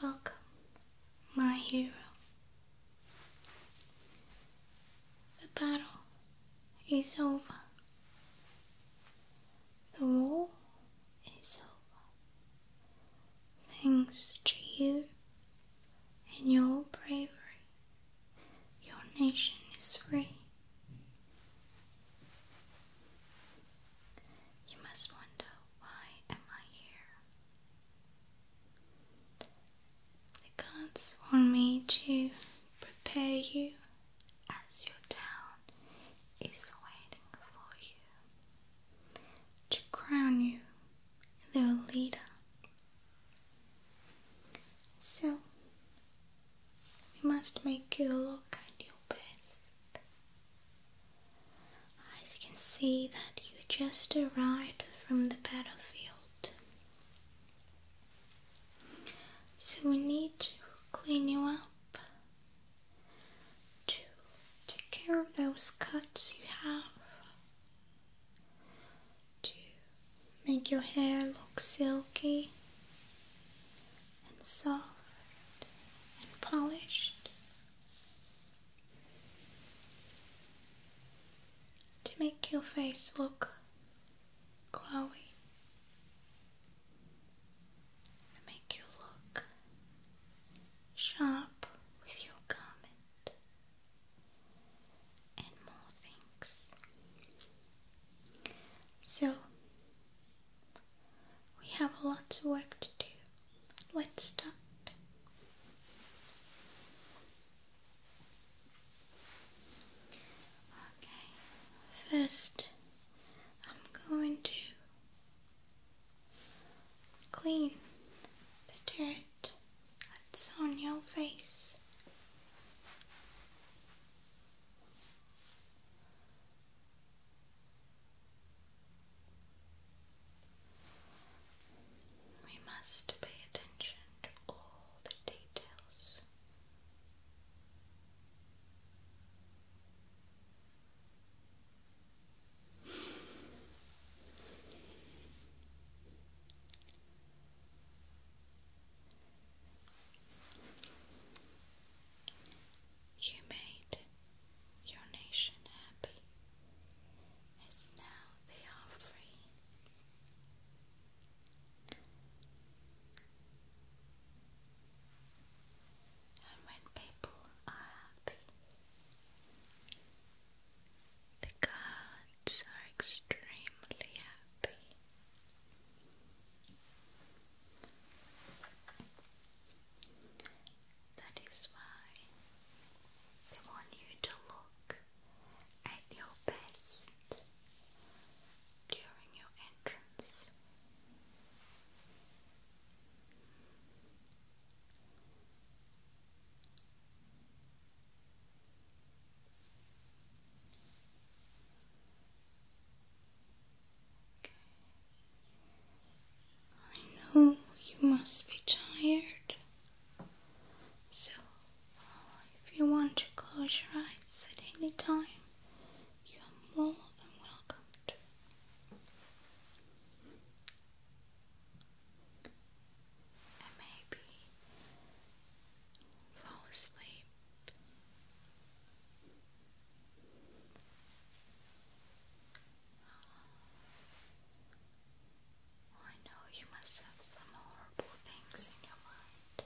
Welcome, my hero. The battle is over. The war is over. Thanks to you and your bravery, your nation is free. You must wonder why am I here? The gods want me to prepare you as your town is waiting for you to crown you their leader. So we must make you look at your best. I can see that you just arrived from the battlefield. So we need to clean you up to take care of those cuts you have, to make your hair look silky and soft and polished to make your face look glowy and make you look sharp with your garment and more things. So, we have a lot to work to do. Let's start. Okay, first I'm going to clean the dirt that's on your face. We must pay attention to all the details. You made your nation happy, as now they are free. And when people are happy, the gods are extremely happy. That is why they want you to look at your best during your entrance. Okay. I know you must be tired. So, if you want to close your eyes at any time, you are more than welcome And maybe fall asleep. I know you must have some horrible things in your mind.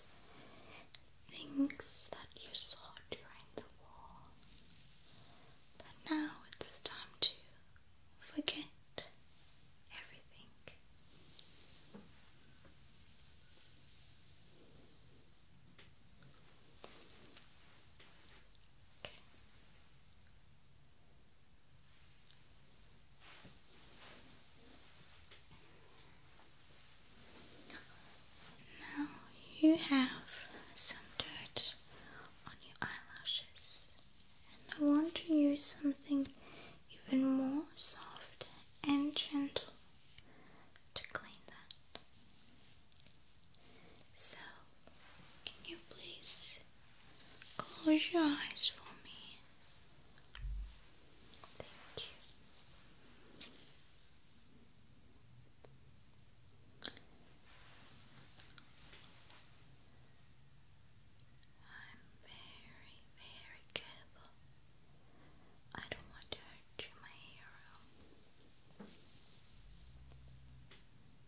Things that you saw during the war. But now it's time to forget everything. Now you have some dirt on your eyelashes, and I want to use something even more soft and gentle to clean that. So can you please close your eyes for me? Thank you. I'm very, very careful. I don't want to hurt you, my hero.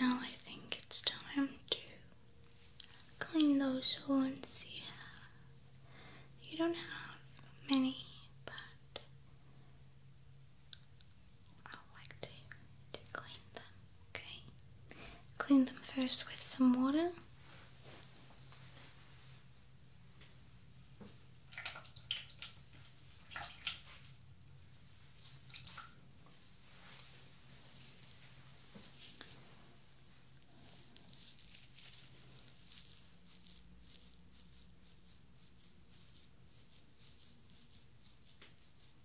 Now I think it's time to clean those wounds you have. don't have many, but I like to clean them. Okay, clean them first with some water.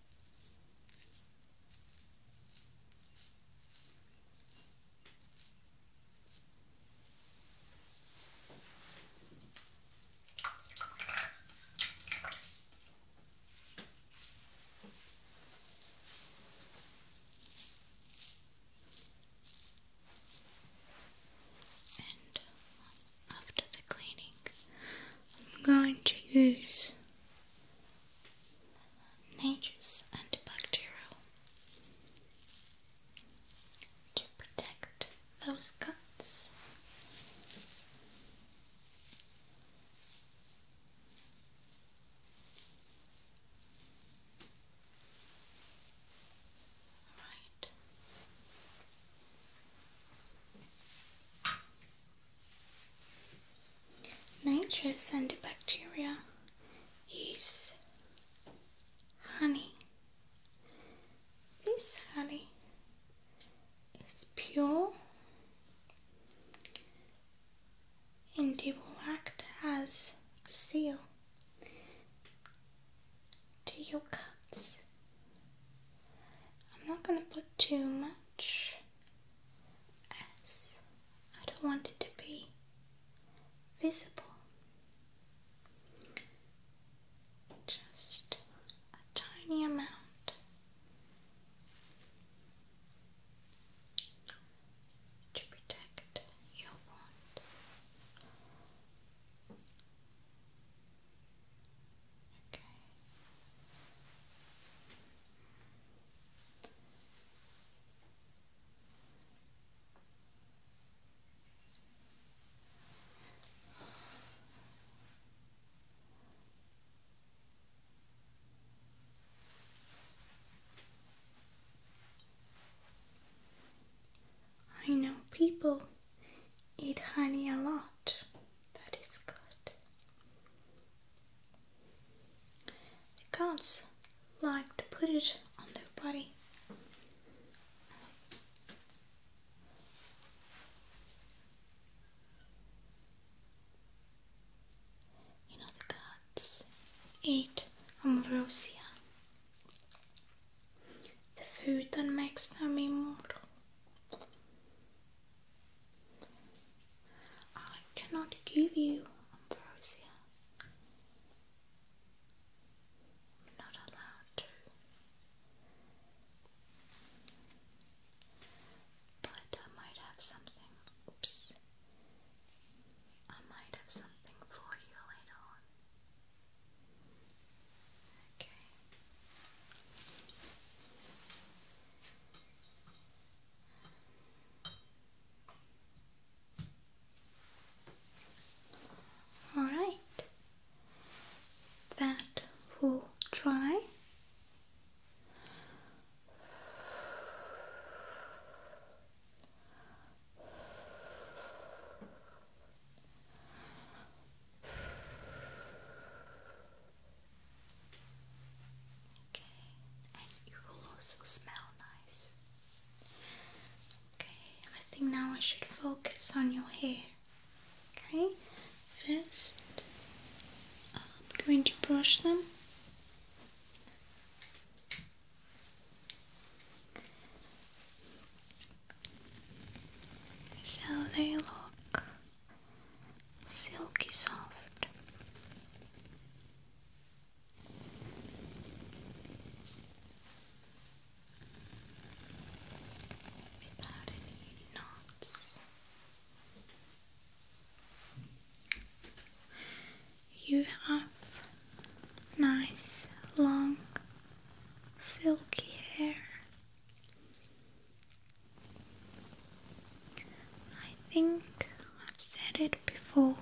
And um, after the cleaning, I'm going to use nature's antibacterial to protect those guts. Right. Nitrous and bacteria use honey. This honey is pure and it will act as the seal to your cuts. I'm not going to put too much as I don't want it to be visible. Just a tiny amount. To protect your wand, okay. I know people eat honey a lot. That is good. The gods like to put it on their body. You know the cats eat ambrosia, the food that makes them immortal. I cannot give you ambrosia. not allowed to. But I might have something. Oops. I might have something for you later on. Okay. All right, that will dry. Okay, and you will also smell nice. Okay, I think now I should focus on your hair. Okay, first I'm going to brush them. So they look silky soft without any knots. You have nice long silky hair. I think I've said it before,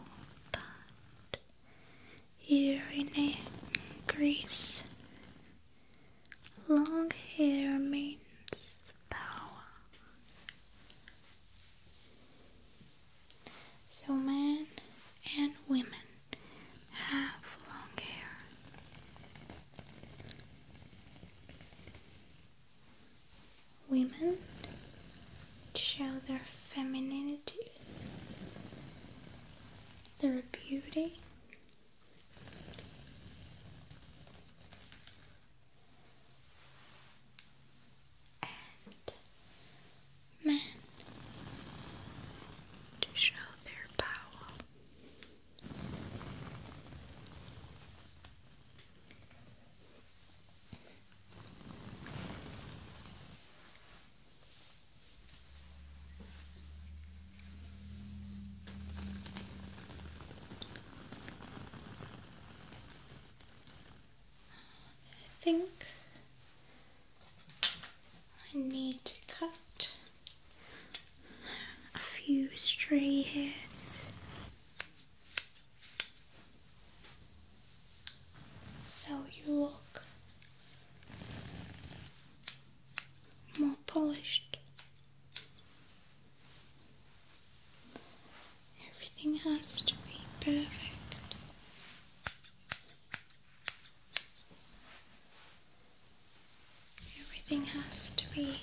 but here in Greece, long hair means power. So men and women have long hair women show their femininity, their beauty. and men to show their power. I think I need to cut a few stray hairs so you look more polished. Everything has to be perfect. Everything has to be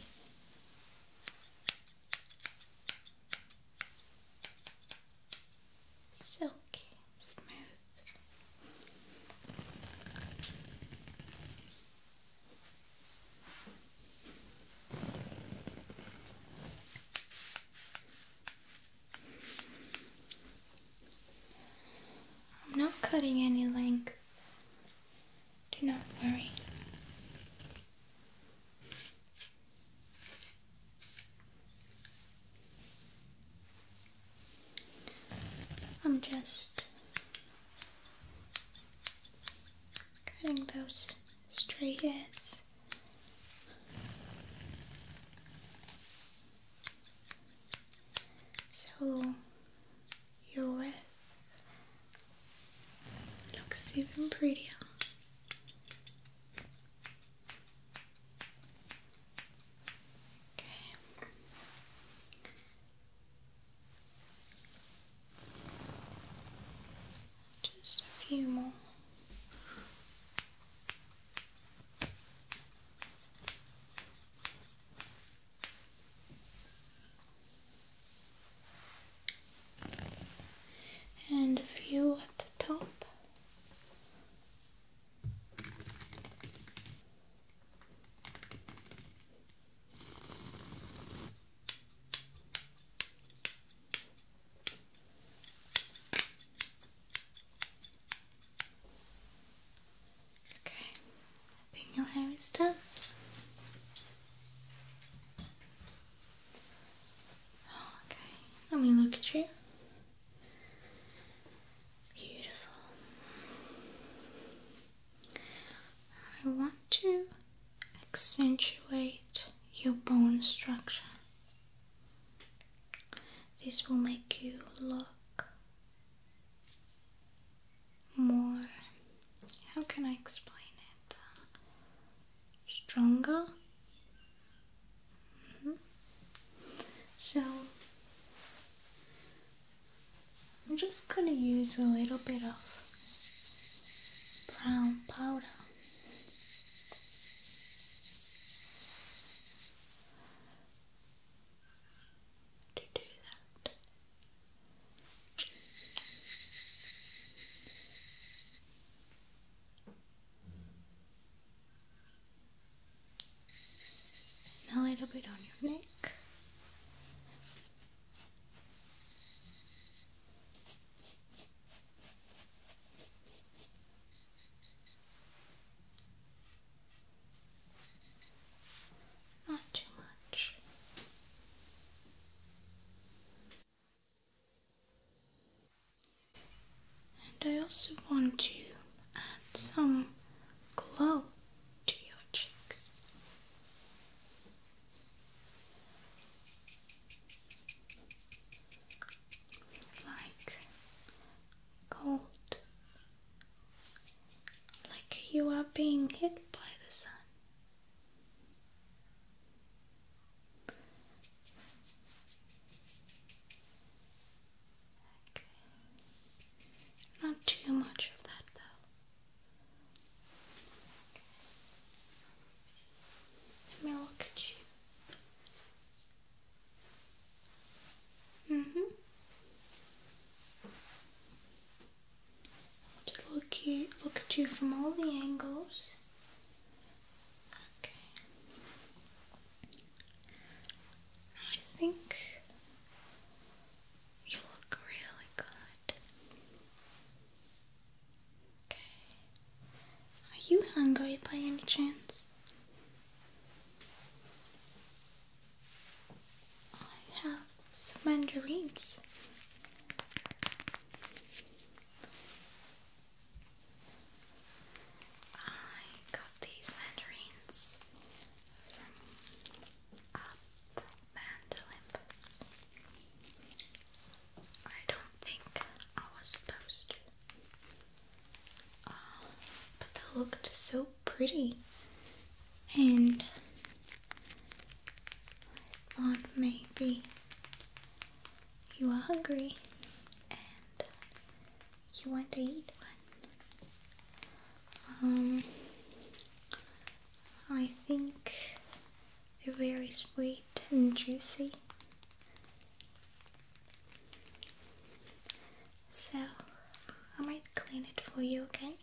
silky smooth. I'm not cutting any length. Do not worry. I'm just cutting those stray hairs. So your looks even prettier. Just a few more and a few at the top. Okay, your hair is done. Okay, let me look at you. Beautiful. I want to accentuate your bone structure. This will make you look more. How can I explain it? stronger. Mm-hmm. So I'm just going to use a little bit of brown powder. To do that and a little bit on your neck. Not too much. And I also want to add some glow to your cheeks. Like gold, like you are being hit by the sun. Not too much of that though. Let me look at you. Mm-hmm. To look you look at you from all the angles. Okay. I think you look really good. Okay. Are you hungry by any chance? I have some mandarins. I got these mandarins Up uh, Mandalimp. I don't think I was supposed to. Uh, but they looked so pretty, and I thought maybe you are hungry and you want to eat Um, I think they're very sweet and juicy. So, I might clean it for you, okay?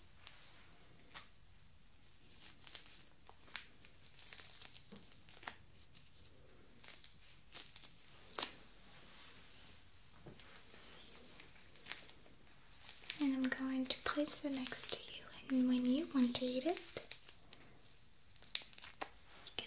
And I'm going to place it next to you, and when you want to eat it, you can eat it.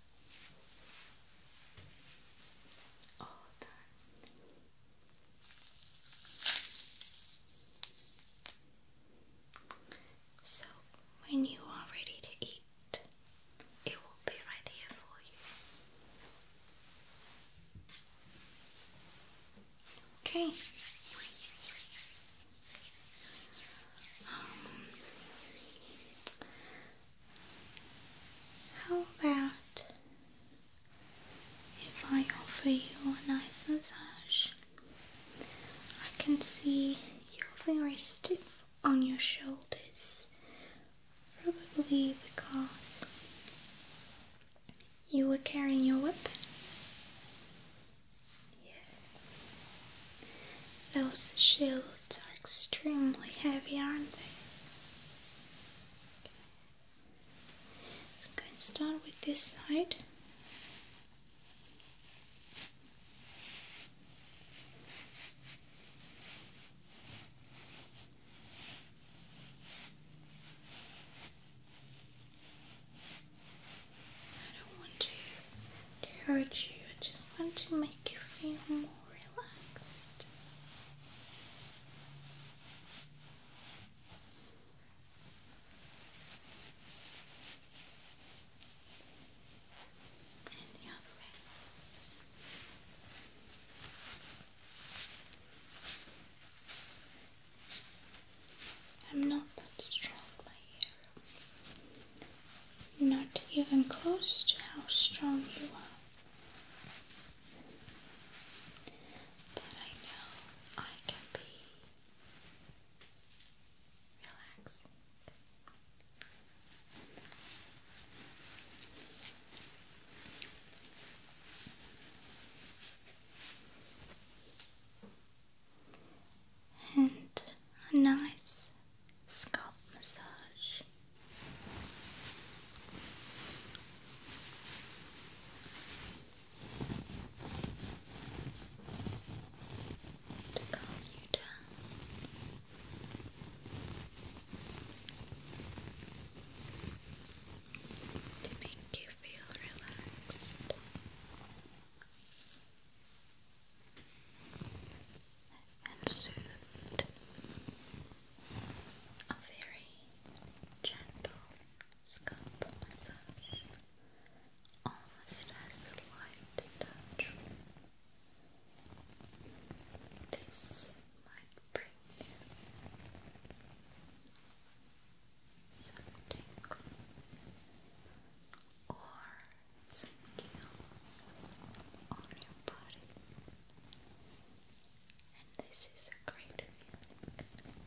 All done. So, when you are ready to eat, it will be right here for you. Okay. Um, how about if I offer you a nice massage? I can see you're very stiff on your shoulders, probably because you were carrying your whip. Yeah. Those shield those are extremely heavy, aren't they? Okay. So I'm going to start with this side. I don't want to hurt you, I just want to make you feel more Relax. I'm not that strong, my hero. Not even close to how strong you are. But I know I can be relaxing. And a nice scalp massage to calm you down. To make you feel relaxed and soothed. A very gentle scalp massage, almost as light touch. This might bring some tingle or some gills on your body and this is a great feeling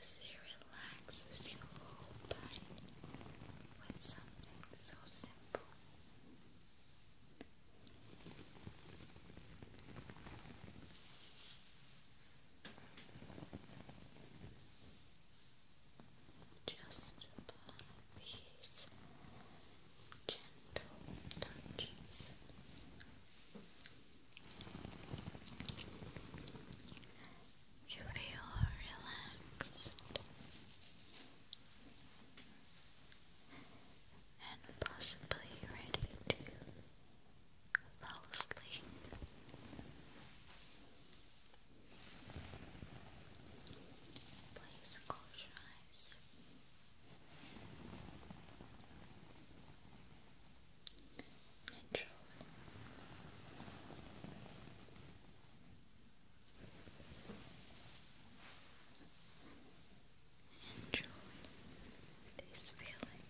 as it relaxes your whole body with something so simple. Just apply these gentle touches. You feel relaxed and possibly ready to fall asleep. Please close your eyes. Neutral. Enjoy this feeling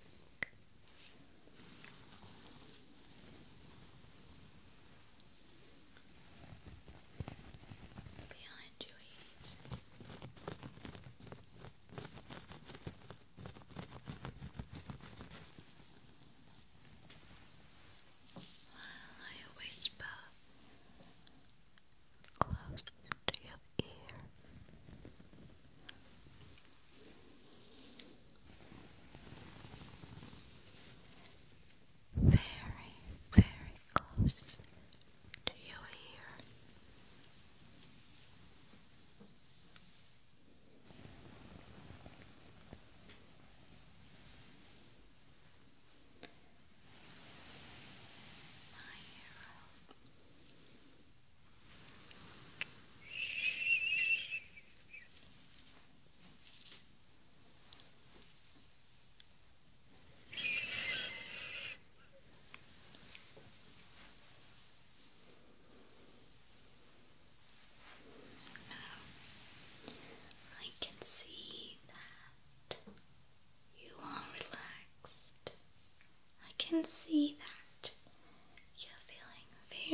behind your ears. While I whisper close to your ear very, very close to your ear. My hero. Um, I can see that you are relaxed. I can see that you're feeling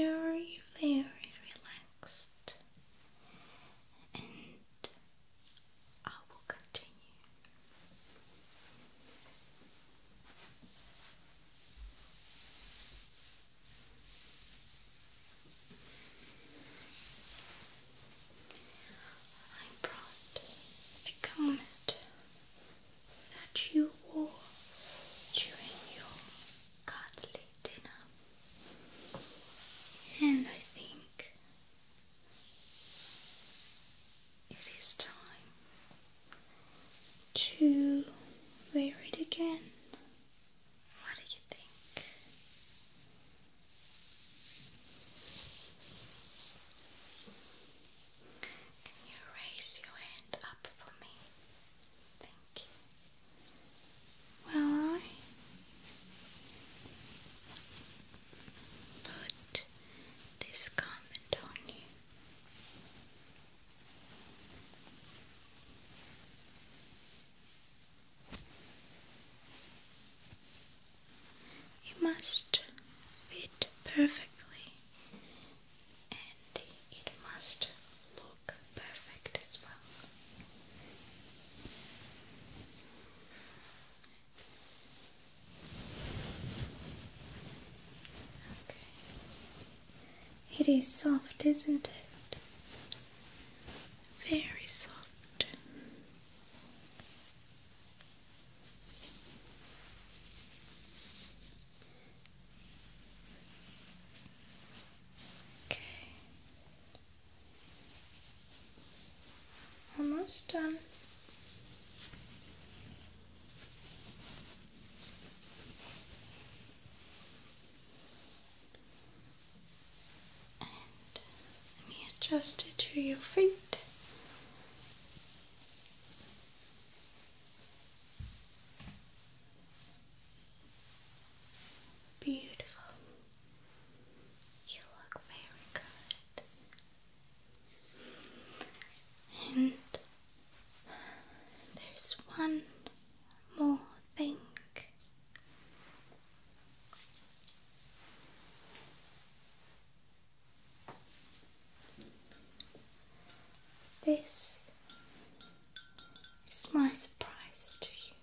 very, very relaxed. And I will continue. I brought a garment that you wore during your godly dinner, and I think it is time to wear it again. What do you think? Can you raise your hand up for me? Thank you. Well, I put this garment on you. You must fit perfectly and it must look perfect as well. It is soft, isn't it? Very soft. Okay. Almost done. let me adjust it to your feet. Beautiful. You look very good. And there's one more thing. This is my surprise to you.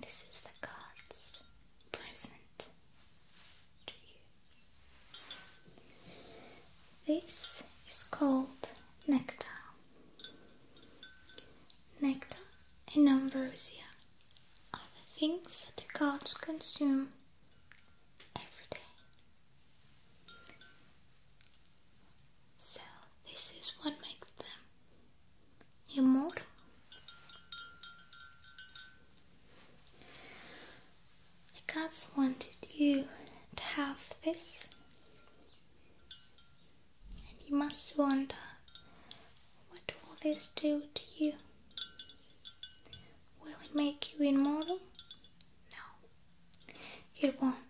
This is the card's present. This is called nectar. Nectar and ambrosia are the things that the gods consume every day. So, this is what makes them e amor. The gods wanted you to have this, and you must wonder what will this do to you? Will it make you immortal? No, it won't.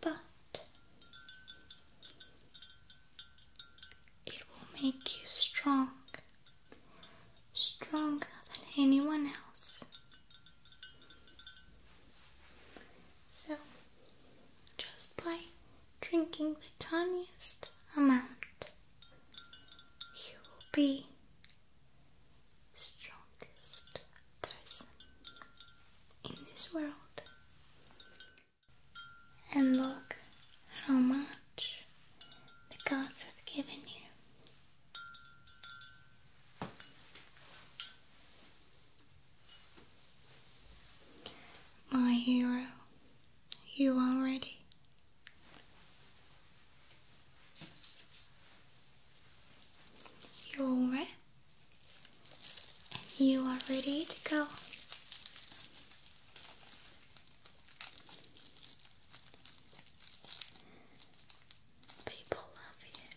But. It will make you strong, stronger than anyone else. So, just by drinking the tiniest amount, you will be strongest person in this world. And look how much the gods have given you. My hero, you are ready. You're ready. and you are ready to go. People love you.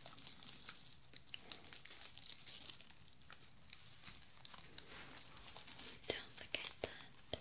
Don't forget that.